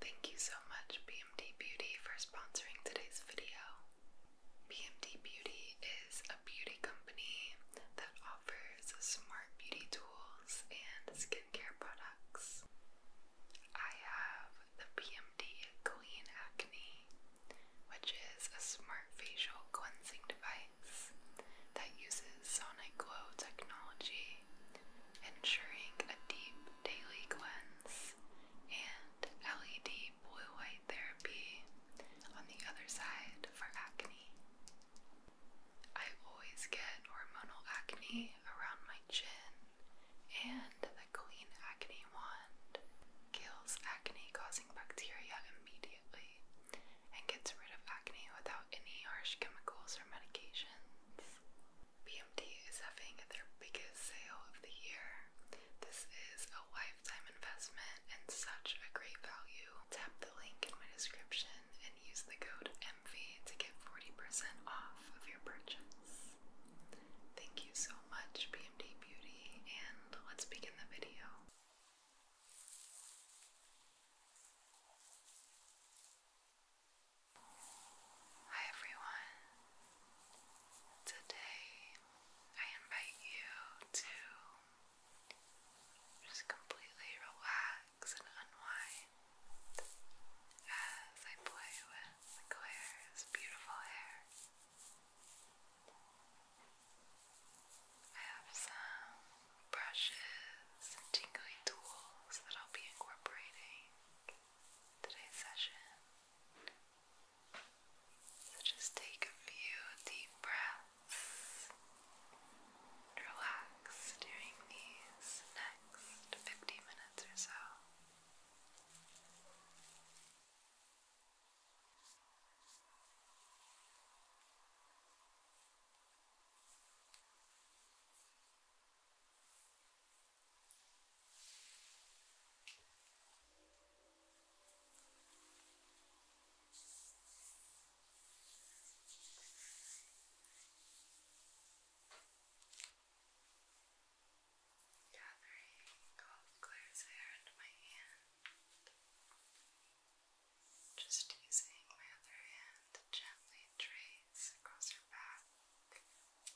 Thank you so much, BMD Beauty, for sponsoring today's video. BMD Beauty is a beauty company that offers smart beauty tools and skincare products. I have the BMD Clean Acne, which is a smart facial cleansing device that uses sonic glow technology, ensuring a deep Daily Cleanse, and LED boy White Therapy on the other side for acne. I always get hormonal acne around my chin, and the Clean Acne Wand kills acne causing bacteria immediately and gets rid of acne without any harsh chemicals or medications. BMD is having their biggest sale of the year. This is a lifetime investment and such a great value. Tap the link in my description and use the code MV to get 40% off of your purchase. Thank you so much, BMD Beauty, and let's begin the video. Hi everyone. Today I invite you to just completely relax and unwind as I play with Claire's beautiful hair. I have some brushes and tingly tools that I'll be incorporating today's session. So just take a few deep breaths. Relax during these next 50 minutes or so. Gathering all of Claire's hair into my hand, just using my other hand to gently trace across her back.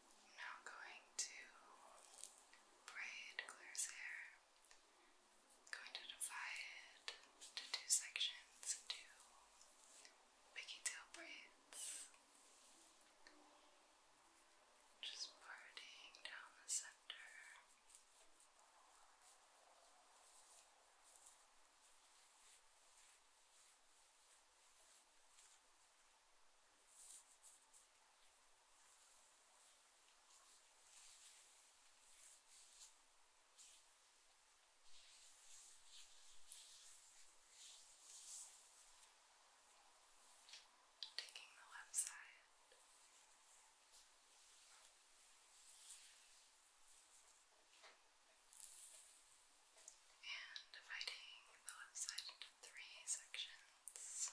I'm now going to braid Claire's hair. going to divide it into two sections, into piggy braids. Just parting down the center. Taking the left side. And dividing the left side into three sections.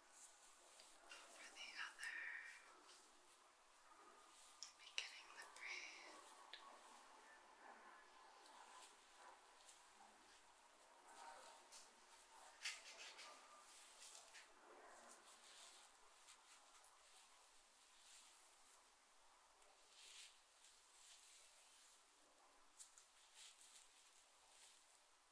for the other, beginning the braid. Now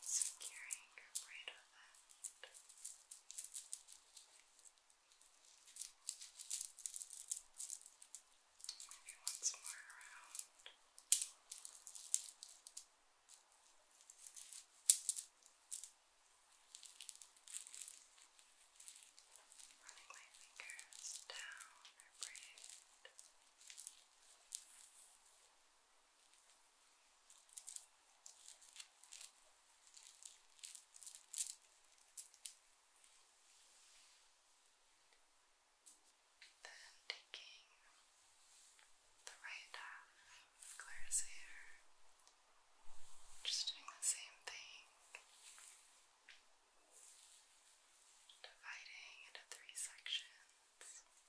securing your bridal band. Maybe once more around. Running my fingers down her braid. Just then taking the right half of Claire's hair, just doing the same thing dividing into three sections. Now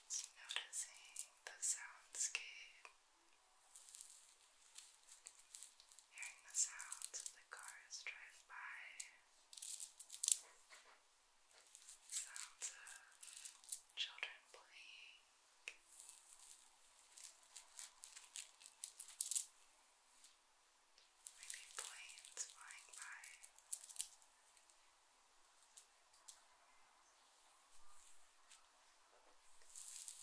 Just noticing the soundscape, hearing the sounds of the cars drive by. Sounds of children playing. Maybe planes flying by. Sounds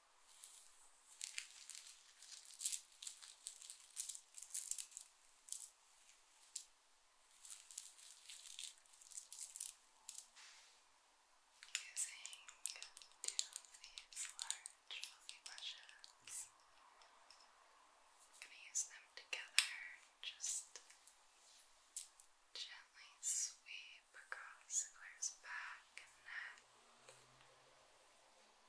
Using two of these large fluffy brushes, I'm going to use them together, just gently sweep across Claire's back and neck. It's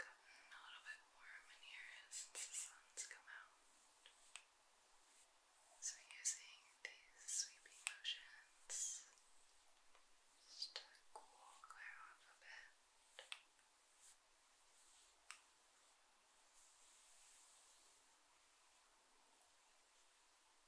gotten a little bit warm in here since the sun's come out. So, using these sweeping motions just to cool Claire off a bit. Just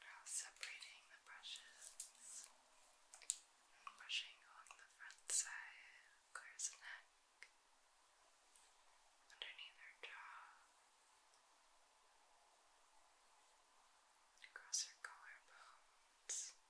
Now separating the brushes and brushing along the front side of Claire's neck, underneath her jaw, across her collarbones.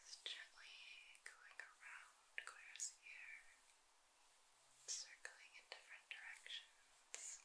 Just gently going around Claire's ear, circling in different directions. Just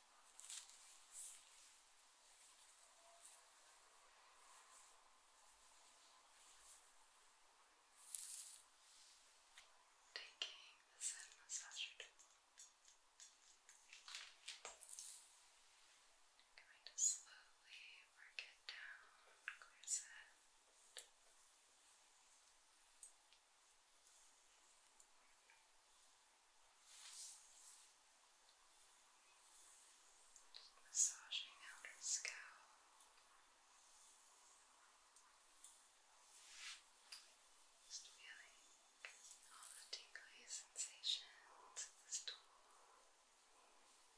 Taking the sun massager tool. I'm going to slowly work it down, clears it. Just massaging out her scalp. Just feeling all the tingly sensations in this tool. Just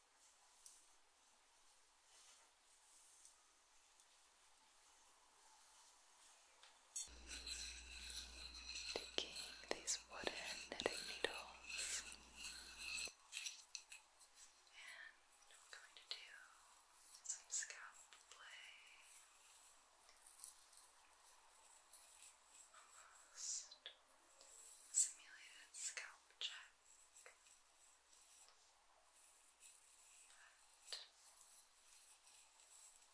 Taking these wooden knitting needles, and going to do some scalp play. Almost simulated scalp check. And I'm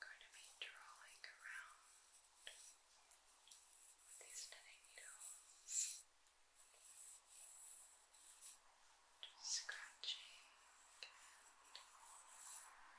going to be drawing around with these knitting needles. Just scratching and being playful. And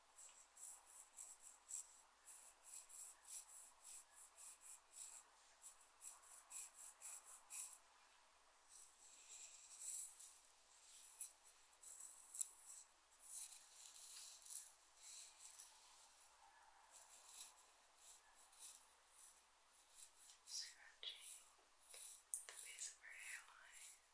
Scratching the base of her hairline.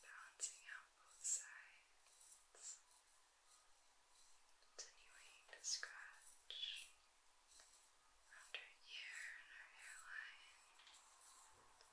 Balancing out both sides, continuing to scratch around her ear and her hairline. Just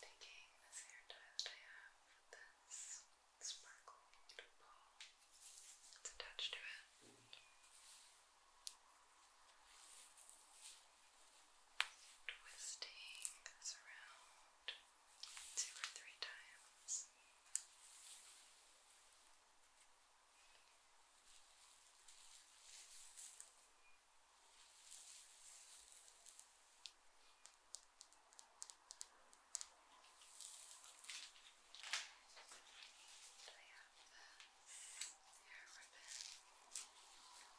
Taking this hair tie that I have with this sparkle ball that's it. Twisting this around two or three times. I have the hair ribbon.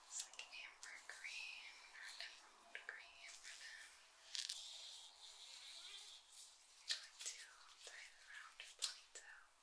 It's like amber green or emerald green ribbon. I'm going to tie it around a ponytail.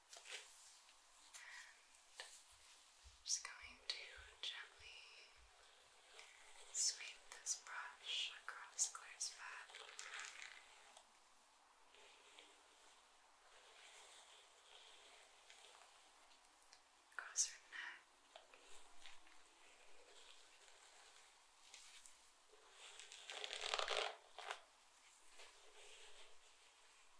And just going to gently sweep this brush across Claire's back. Across her neck. Down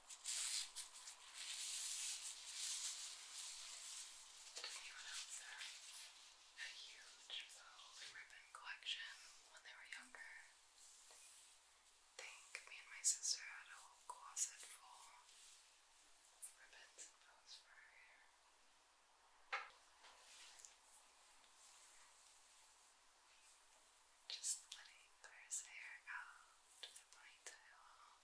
anyone else there? A huge bow and ribbon collection when they were younger. I think me and my sister had a whole closet full of ribbons and bows for her hair. Just letting Claire's hair out to the ponytail.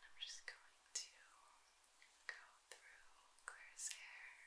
I'm just going to go through Claire's hair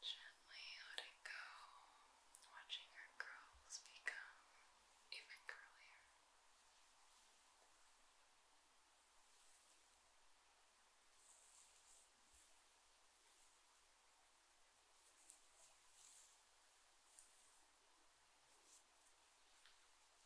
Gently let it go, watching her curls become even curlier.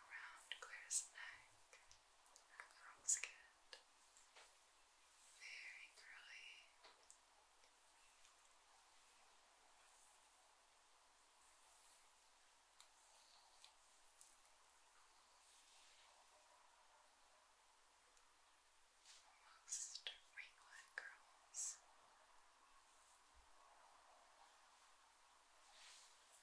around Claire's neck and Carl's head. Very curly. Almost ringlet curls. Very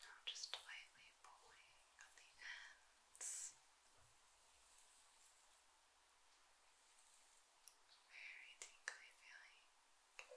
Now just lightly pulling on the ends. Very tingly feeling. Now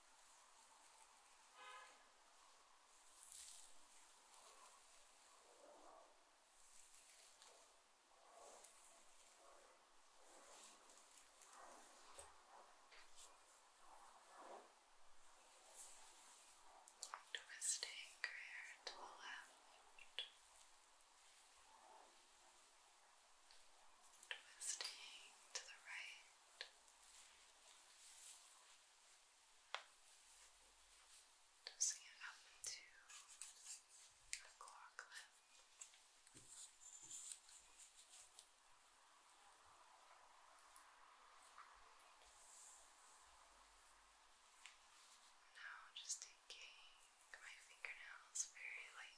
Twisting your hair to the left twisting to the right. Twisting it up into a claw clip. Now just taking my fingernails very lightly.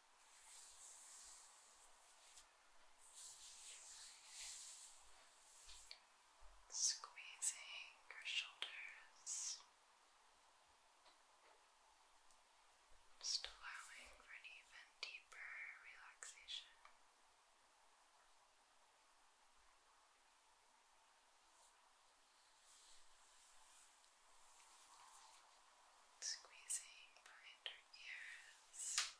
Squeezing your shoulders, just allowing for an even deeper relaxation. Squeezing behind your ears.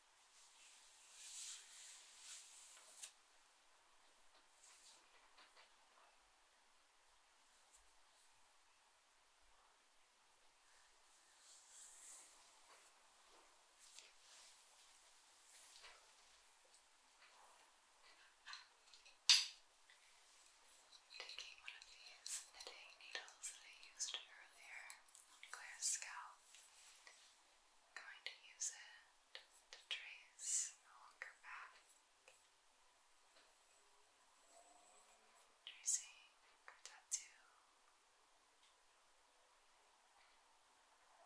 Taking one of these knitting needles that I used earlier on Claire's scalp. I'm going to use it to trace along her back. Tracing her tattoo. Now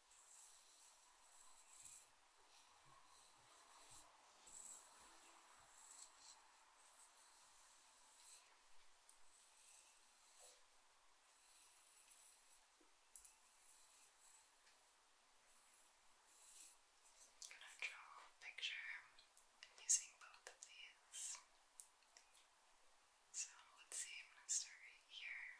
I'm going to draw a picture using both of these. So let's see, I'm going to start right here.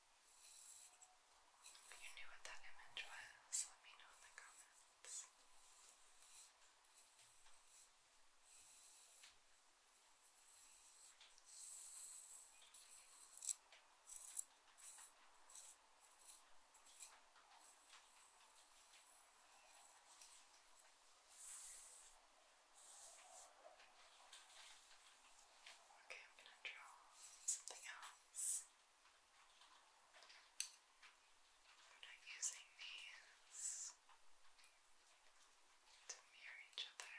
If you knew what that image was, let me know in the comments. Now Okay, I'm gonna draw something else. I'm not using these to mirror each other.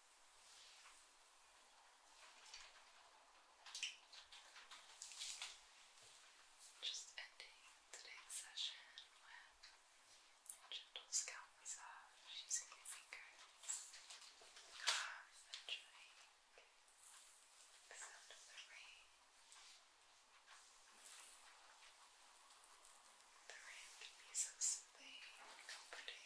Just ending today's session with a gentle scalp massage using your fingers. I'm enjoying the sound of the rain. The rain can be so soothing and comforting.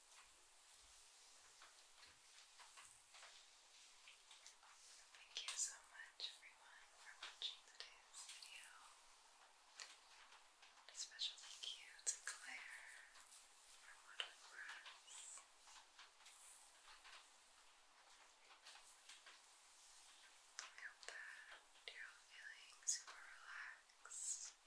Thank you so much, everyone, for watching today's video. A special thank you to Claire for modeling for us. I hope that you're all feeling super relaxed.